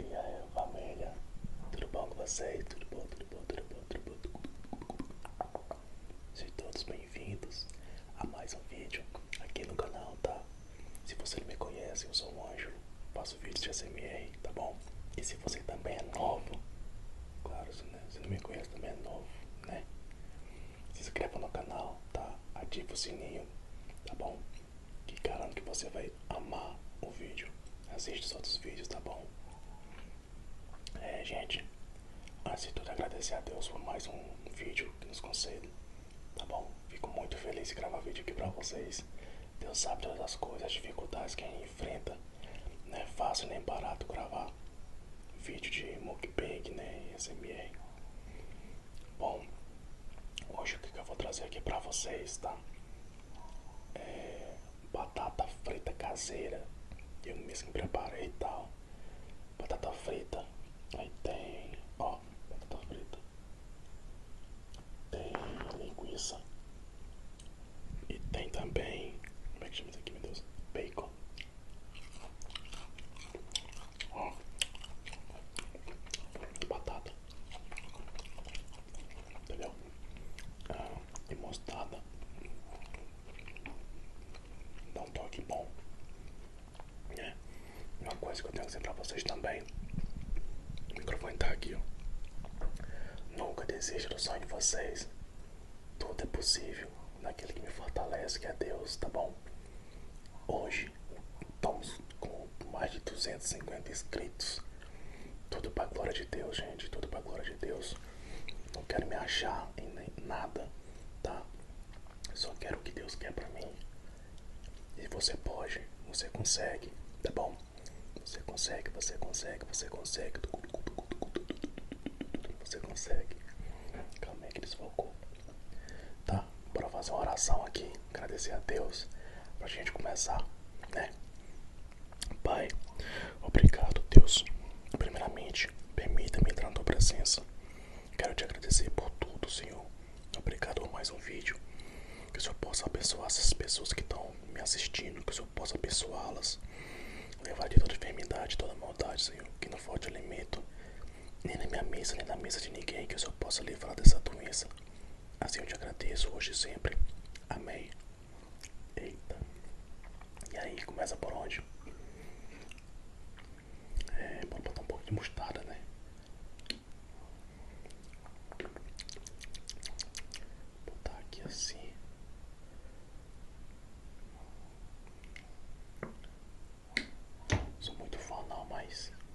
E aí família, tudo bom com vocês? Tudo bom, tudo bom, tudo bom, tudo bom? Sejam todos bem-vindos a mais um vídeo aqui no canal, tá? Se você não me conhece, eu sou um anjo, faço vídeos de ACMR, tá bom? E se você também é novo, claro, se não, se não me conhece também é novo, né? Se inscreva no canal, tá? Ativa o sininho, tá bom? que garanto que você vai amar o vídeo. Assiste os outros vídeos, tá bom? É, gente, antes de tudo agradecer a Deus por mais um vídeo que nos concede, tá bom? Fico muito feliz de gravar vídeo aqui pra vocês. Deus sabe todas as coisas, as dificuldades que a gente enfrenta. Não é fácil nem barato gravar vídeo de mukbang, né? SMR. Bom, Hoje o que, que eu vou trazer aqui pra vocês, tá? É batata frita caseira. Eu mesmo preparei e tal. Batata frita. Aí tem. Ó, batata frita. Tem linguiça. E tem também. Como é que chama isso aqui, meu Deus? Bacon. Ó. Batata entendeu? Ah, e mostarda dá um toque bom. É. Uma coisa que eu tenho que dizer pra vocês também: o microfone tá aqui, Nunca desista do sonho de vocês. Tudo é possível naquele que me fortalece, que é Deus, tá bom? Hoje estamos com mais de 250 inscritos. Tudo pra glória de Deus, gente. Tudo pra glória de Deus. Não quero me achar em nada, tá? Só quero o que Deus quer pra mim. E você pode, você consegue, tá bom? Você consegue, você consegue, você consegue. Você consegue. Calma aí que desfocou. Tá? Bora fazer uma oração aqui agradecer a Deus para a gente começar, né? Pai, obrigado, Deus. Primeiramente, permita-me entrar na tua presença. Quero te agradecer por tudo, Senhor. Obrigado por mais um vídeo. Que o Senhor possa abençoar essas pessoas que estão me assistindo, que o Senhor possa abençoá-las. Levar de toda enfermidade, toda maldade, Senhor. Que não falte alimento, nem na minha mesa, nem na mesa de ninguém. Que o Senhor possa livrar dessa doença. Assim eu te agradeço hoje e sempre. amei. Eita. E aí, começa por onde? É, bora botar um pouco de mostarda, né? Vou botar aqui assim. Sou muito fã não, mas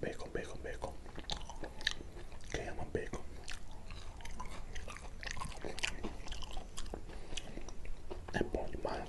Bacon, bacon, bacon. Quem uma bacon? É bom demais.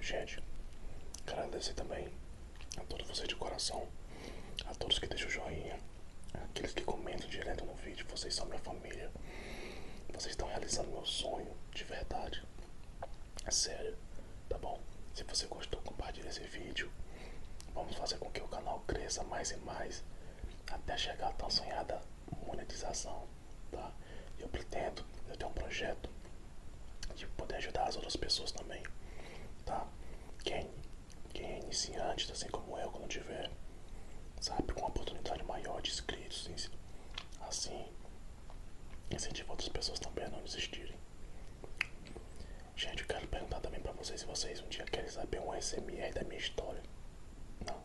Gente, quero agradecer também a todos vocês de coração, a todos que deixam o joinha, aqueles que comentam direto no vídeo, vocês são minha família. Vocês estão realizando meu sonho de verdade. É sério tá bom? Se você gostou, compartilhe esse vídeo. Vamos fazer com que o canal cresça mais e mais até chegar à tão sonhada monetização, tá? Eu pretendo, eu tenho um projeto de poder ajudar as outras pessoas também, tá? Quem, quem é iniciante, assim como eu, quando tiver, sabe, com uma oportunidade maior de inscritos, assim, incentiva outras pessoas também a não desistirem. Gente, eu quero perguntar também pra vocês se vocês um dia querem saber um SMR da minha história. Não.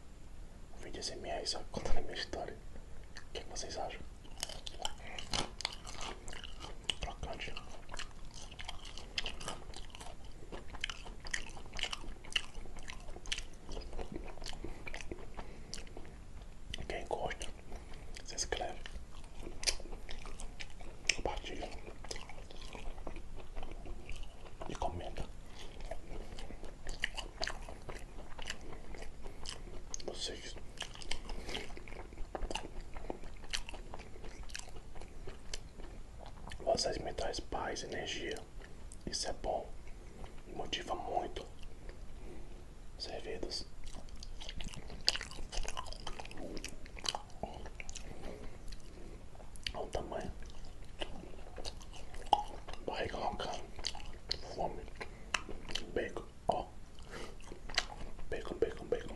Um vídeo SMR só contando a minha história. O que, é que vocês acham? Crocante. Quem gosta? se inscreve, compartilha e comenta. Vocês vocês mentais paz, energia. Isso é bom. motiva muito. Servidos o tamanho. Barriga roncando. Fome. Bacon. Ó. Bacon, bacon, bacon.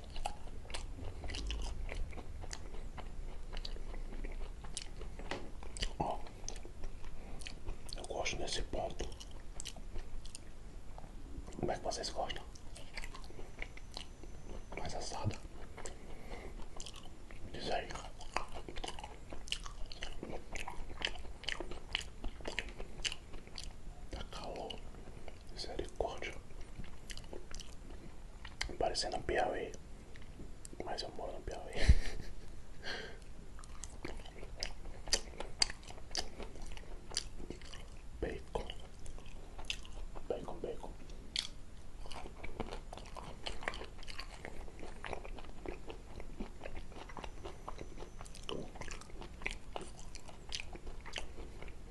eu gosto desse ponto. Como é que vocês gostam? Mais assada. Diz aí. Tá calor. Misericórdia. Parecendo um Piauí. Mas eu moro no Piauí. Bacon. Bacon, bacon.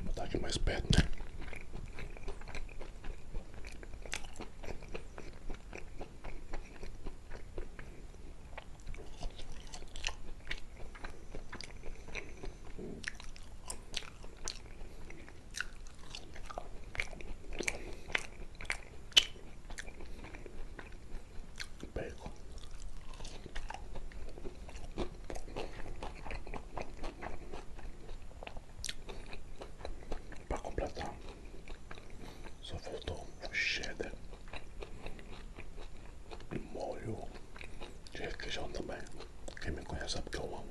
Vou botar aqui mais perto, Bacon. Para completar, só faltou o cheddar e molho de requeijão também. Quem me conhece sabe que eu amo.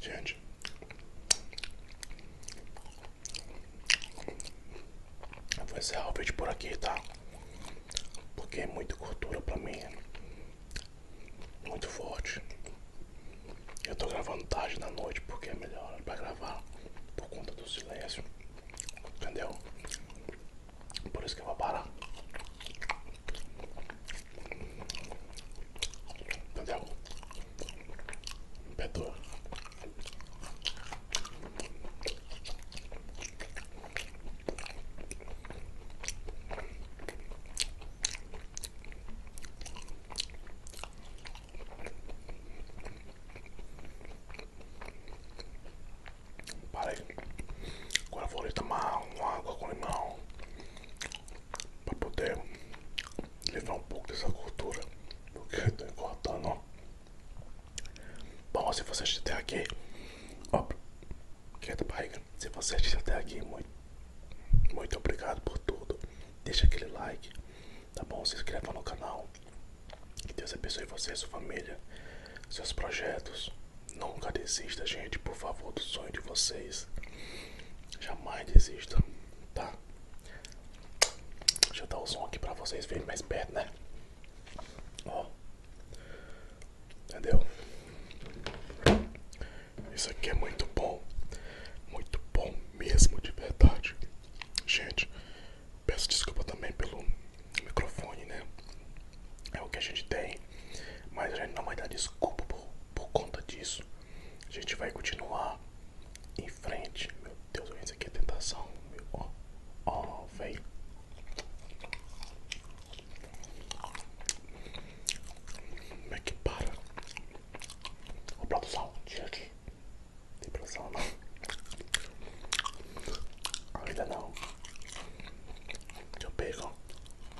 Gente. Eu vou encerrar o vídeo por aqui, tá? Porque é muita cultura pra mim. Muito forte. Eu tô gravando tarde na noite porque é melhor pra gravar por conta do silêncio. Entendeu? Por isso que eu vou parar. Entendeu? Perdoa. Parei. Agora eu vou ali tomar com água com limão para poder levar um pouco dessa cultura porque eu tô engordando. Bom, se você assistiu até aqui, ó, quieta é barriga, se você assistiu até aqui, muito, muito obrigado por tudo. Deixa aquele like, tá bom? Se inscreva no canal. Que Deus abençoe você, sua família, seus projetos. Nunca desista, gente, por favor, do sonho de vocês. Jamais desista, tá? Deixa eu dar o som aqui pra vocês verem mais perto, né? Ó. Entendeu? Isso aqui é muito bom. Muito bom mesmo, de verdade. Gente, peço desculpa também pelo microfone, né? É o que a gente tem. Mas a gente não vai dar desculpa por, conta disso. A gente vai continuar em frente. Meu Deus, isso aqui é tentação. Meu, ó, ó, velho. Como é que para? Ô, produção, tira aqui. Não tem produção, não. Ainda não. Eu pego.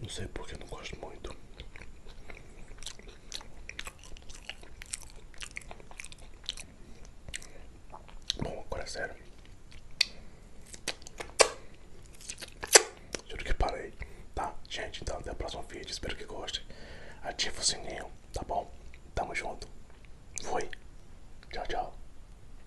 Não sei porque eu não gosto muito. Bom, agora é sério. Juro que parei. Tá, gente, então até o próximo vídeo. Espero que goste. Ativa o sininho, tá bom? Tamo junto. Fui. Tchau, tchau.